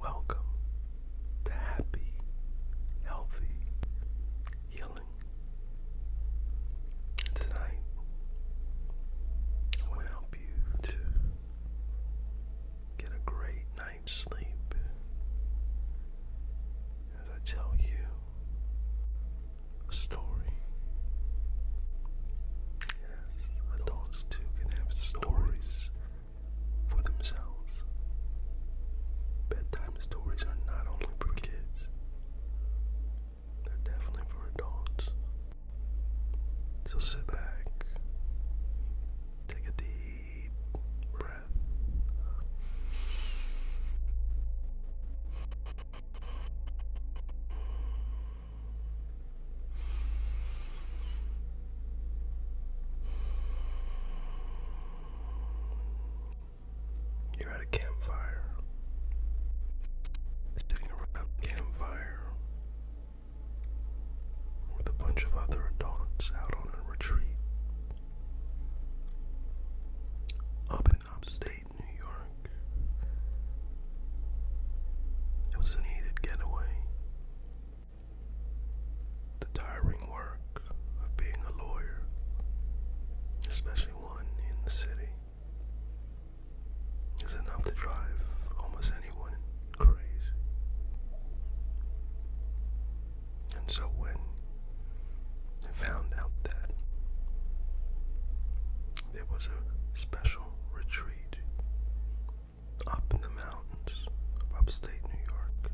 Welcome to happy, healthy healing. Tonight, I want help you to get a great night's sleep. As I tell you a story. Yes, adults too can have stories for themselves. Bedtime stories are not only for kids, they're definitely for adults. So sit back, take a deep breath. You're at a campfire, sitting around a campfire with a bunch of other adults out on a retreat. Up in upstate New York, it was a needed getaway. The tiring work of being a lawyer, especially one in the city, is enough to drive almost anyone crazy. And so when I found out that there was a special retreat up in the mountains of upstate New York,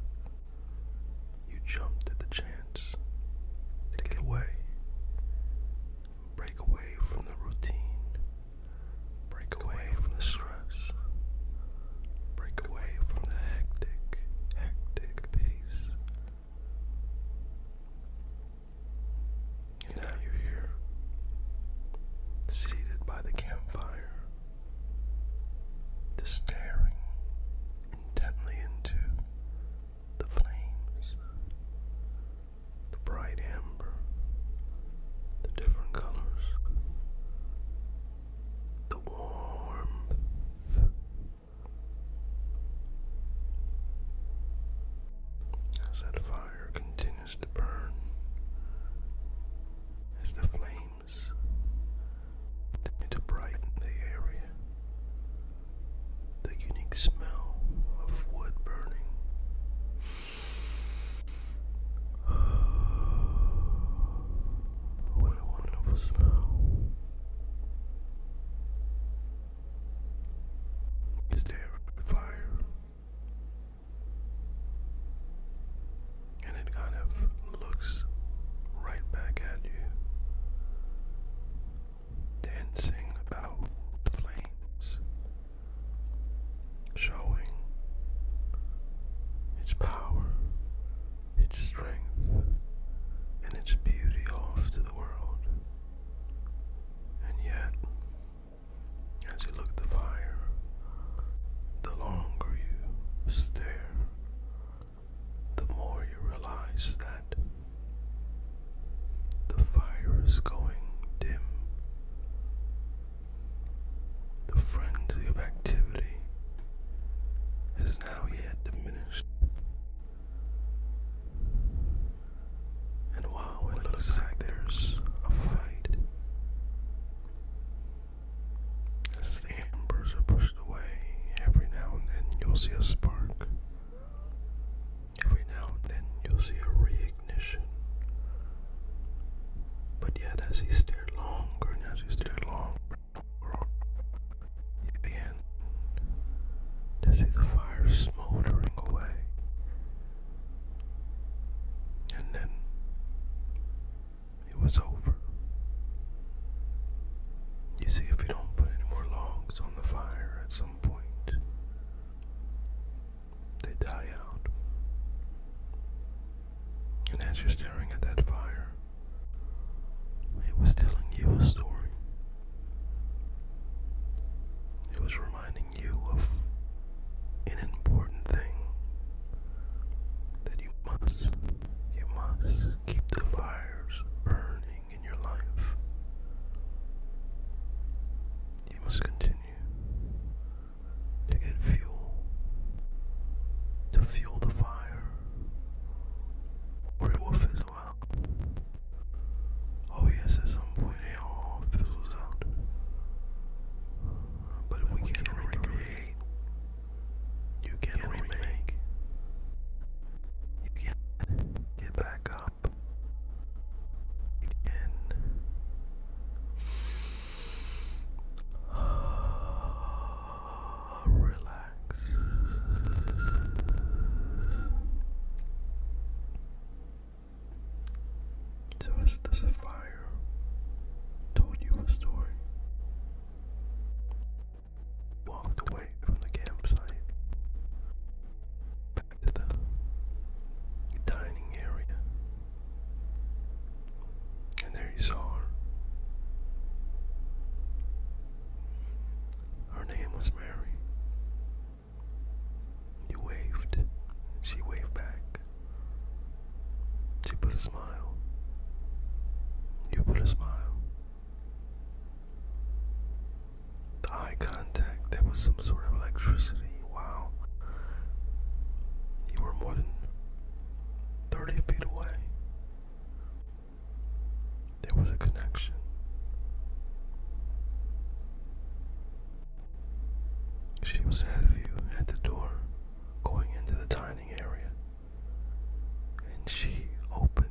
you jumped at the chance to get away, break away from the routine, break away from the stress, break away from the hectic, hectic pace now you're here, seated by the campfire, staring intently into the flames, the bright amber, the different colors, the warmth. As that fire continues continues as the flames continue to brighten the area. The unique smell of wood burning. what a wonderful smell. Is there a fire? and it kind of looks right back at you, dancing about the flames, showing its power, its strength, and its beauty off to the world. And yet, as you look at the fire, the longer you stare, the more you realize that the fire is going dim. The frenzy of activity has now yet diminished. And while it looks like there's a fight as the embers are pushed away, every now and then you'll see a spark. Every now and then you'll see a re-ignition. But yet, as he stared longer and as he stared longer, longer he began to see the fire smoldering away. And then it was over. You see, if you don't put any more logs on the fire at some point, they die out. And as you're staring at that fire, it was telling you a story. It was reminding you of an important thing that you must, you must keep the fires burning in your life. You must continue to get fuel, to fuel the fire, or it will fizzle out. Oh, yes, it's some point it all fizzles out but, we, can, recreate. You can, can remake. You can get back up. You Relax. So as the sapphire told you a story, walked away from the campsite back to the dining area, and there you saw her. Her name was Mary. You waved, she waved back. She put a smile. You put a smile. eye contact, there was some sort of electricity. Wow. You were more than 30 feet away. There was a connection. She was ahead of you at the door going into the dining area, and she opened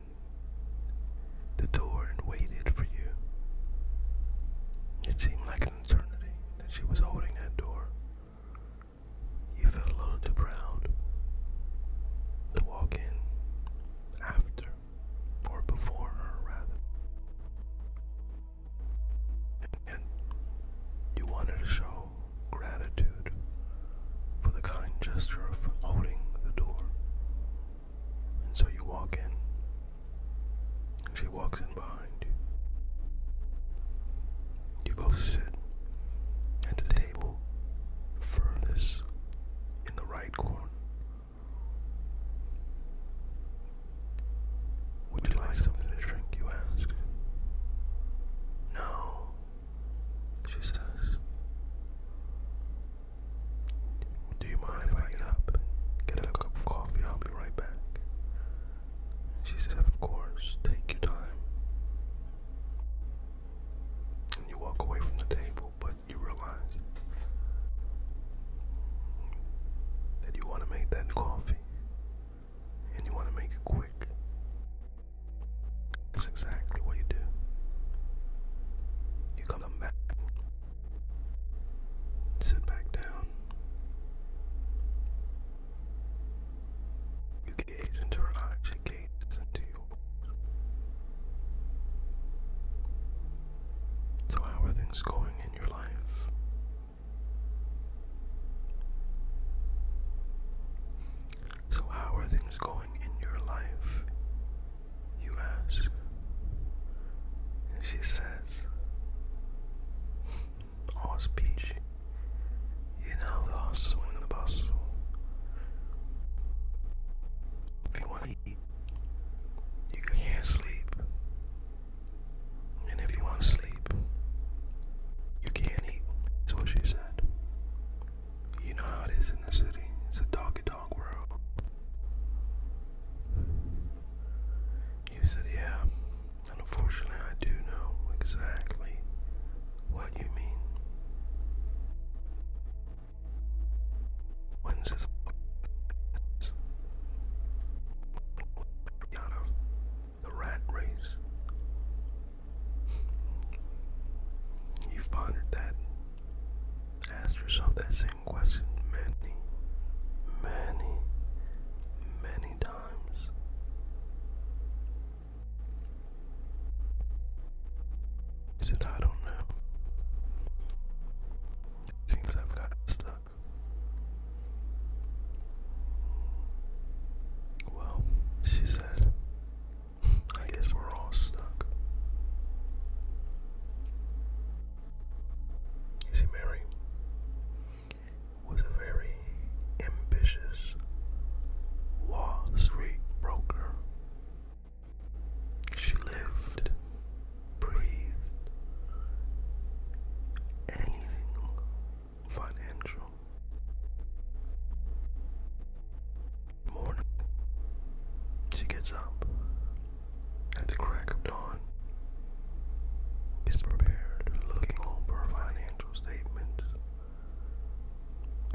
the door and waited for you. It seemed like an eternity that she was holding that door. You felt a little too proud to walk in after, or before her rather and you wanted to show gratitude for the kind gesture of holding the door. And so you walk in, and she walks in behind you. You both sit at the table furthest in the right corner. Would you like something to drink, you ask? No, she says. Do you mind if I get up get a cup of coffee? I'll be right back. She said, Of course, take your time. And you walk away from the table, but you realize that you want to make that coffee and you want to make it quick, that's exactly what you do. You come back, sit back down, you gaze into her eyes, she gazes into yours. So, how are things going in your life? So, how are things going in your life? You ask. And she says, All's peachy. You know, the hustle and the bus. If you want to eat, you can't sleep. And if you want to sleep, you can't eat. That's what she said. You know how it is in the city. It's a doggy dog world. You said, yeah. And unfortunately, I do know exactly what you mean. When's this? out of the rat race. You've pondered that. Ask yourself that same question many, many, many times. He said, I don't know. seems I've got stuck well, she said, I guess we're all stuck. You see, Mary was a very ambitious Wall Street broker. She lived breathed, anything financial. Morning, she gets up at the crack of dawn. Is prepared, looking over financial statements,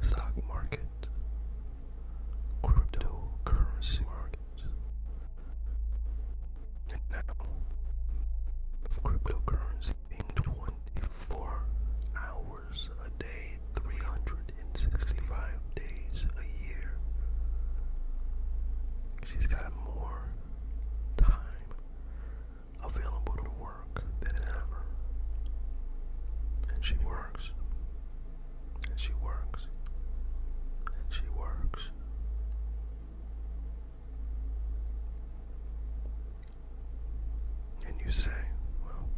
stock market, cryptocurrency market, and now, cryptocurrency being 24 hours a day, 365 days a year. She's got more time available to work than ever. And she works. And she works. And she works. And you say, well,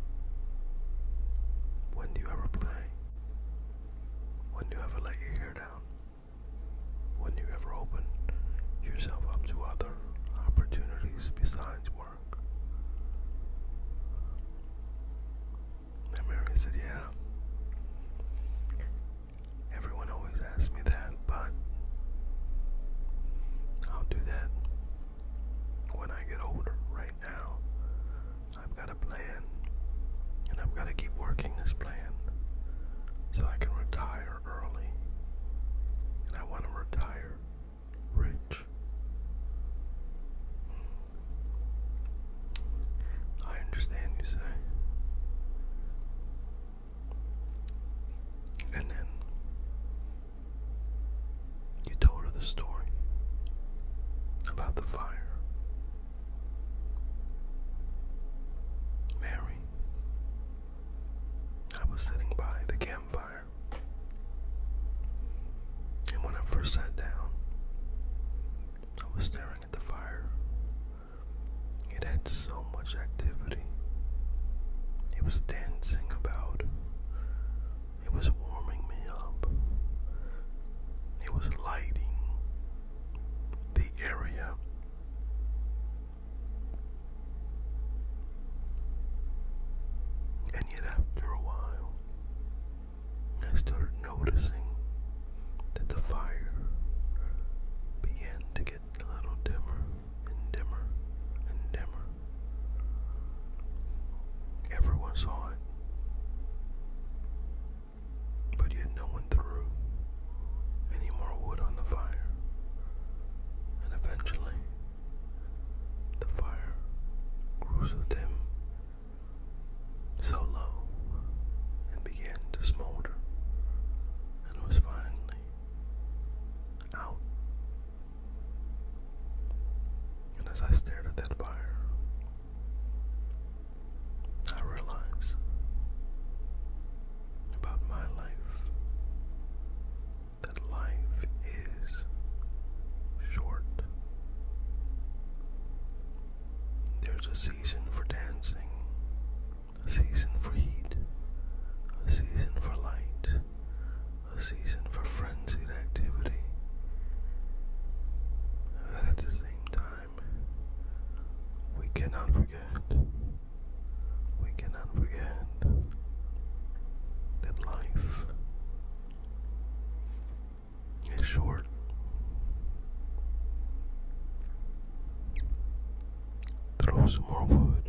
when do you ever play? When do you ever let your hair down? When do you ever open yourself up to other opportunities besides work? And Mary said, yeah. Everyone always asks me that, but I'll do that when I get older. Right now, I've got a plan, and I've got to keep working this plan so I can retire early. And I want to retire rich. I understand you say. And then you told her the story about the fire. Mary, I was sitting by the campfire, and when I first sat down, I was staring at the fire it had so much activity. It was dancing about. It was warming me up. It was lighting the area. And yet, after a while, I started noticing that the fire began to get a little dimmer and dimmer and dimmer. Everyone saw it, but yet no one threw any more wood on the fire, and eventually the fire grew so dim, so low, and began to smolder and was finally out. And as I stared at that fire, I realized about my life that life is short. There's a season for dancing a season for heat, a season for light, a season for frenzied activity, and at the same time, we cannot forget, we cannot forget that life is short. Throw some more wood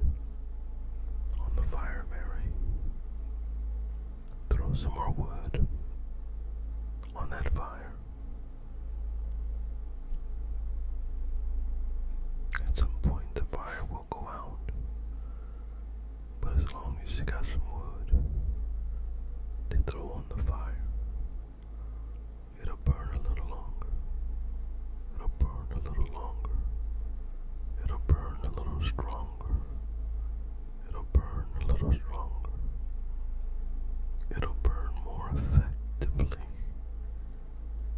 on the fire, Mary. Throw some more wood on that fire. At some point, the fire will go out, but as long as you got some wood to throw on the fire, It'll burn a little longer. It'll burn a little longer. It'll burn a little stronger. It'll burn a little stronger. It'll burn more effectively.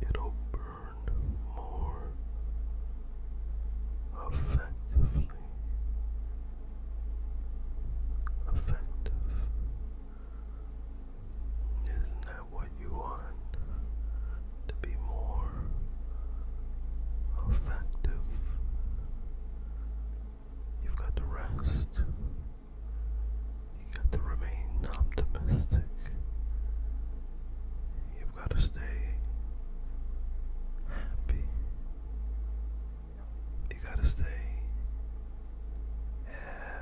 It'll burn more effectively. Effective. Isn't that what you want? To be more effective, you've got to rest, you've got to remain optimistic, you've got to stay happy, you got to stay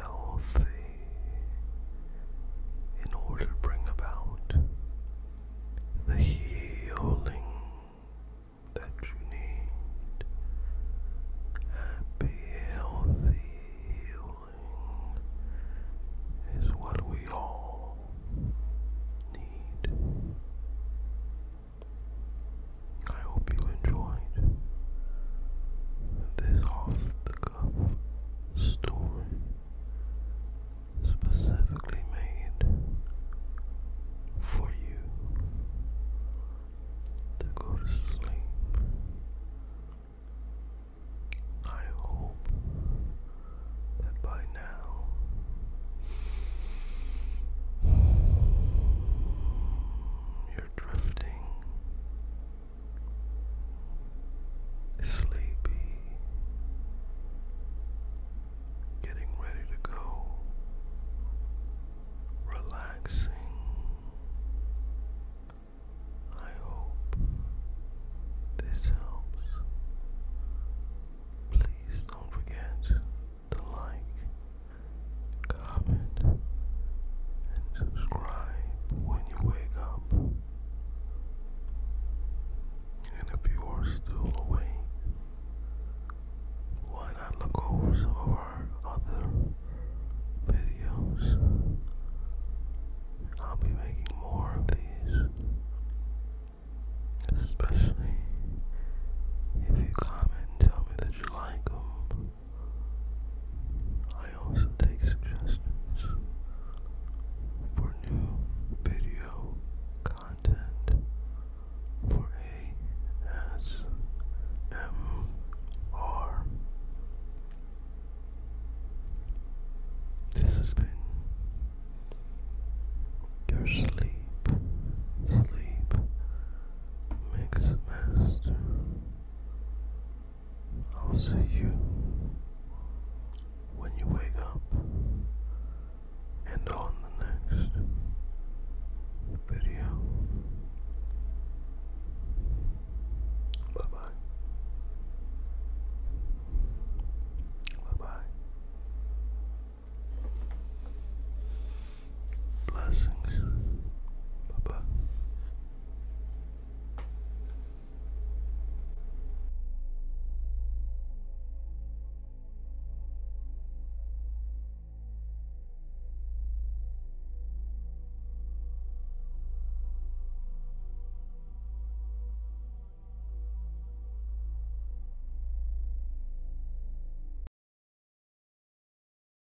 healthy in order to bring about the healing that you need. Happy, healthy healing is what we all need. I hope you enjoyed this off the cuff story specifically made for you to go to sleep. I hope that by now drifting, sleepy, getting ready to go, relaxing. I hope this helps. Please don't forget to like comment, and subscribe when you wake up. And if you are still awake, why not look over some of our other videos? I'll be making more of these, especially if you comment and tell me that you like them. I also take suggestions for new video content for ASMR. This has been your sleep, sleep, mix master. I'll see you when you wake up and on the next video. Bye bye. Bye bye. Blessings. Bye bye.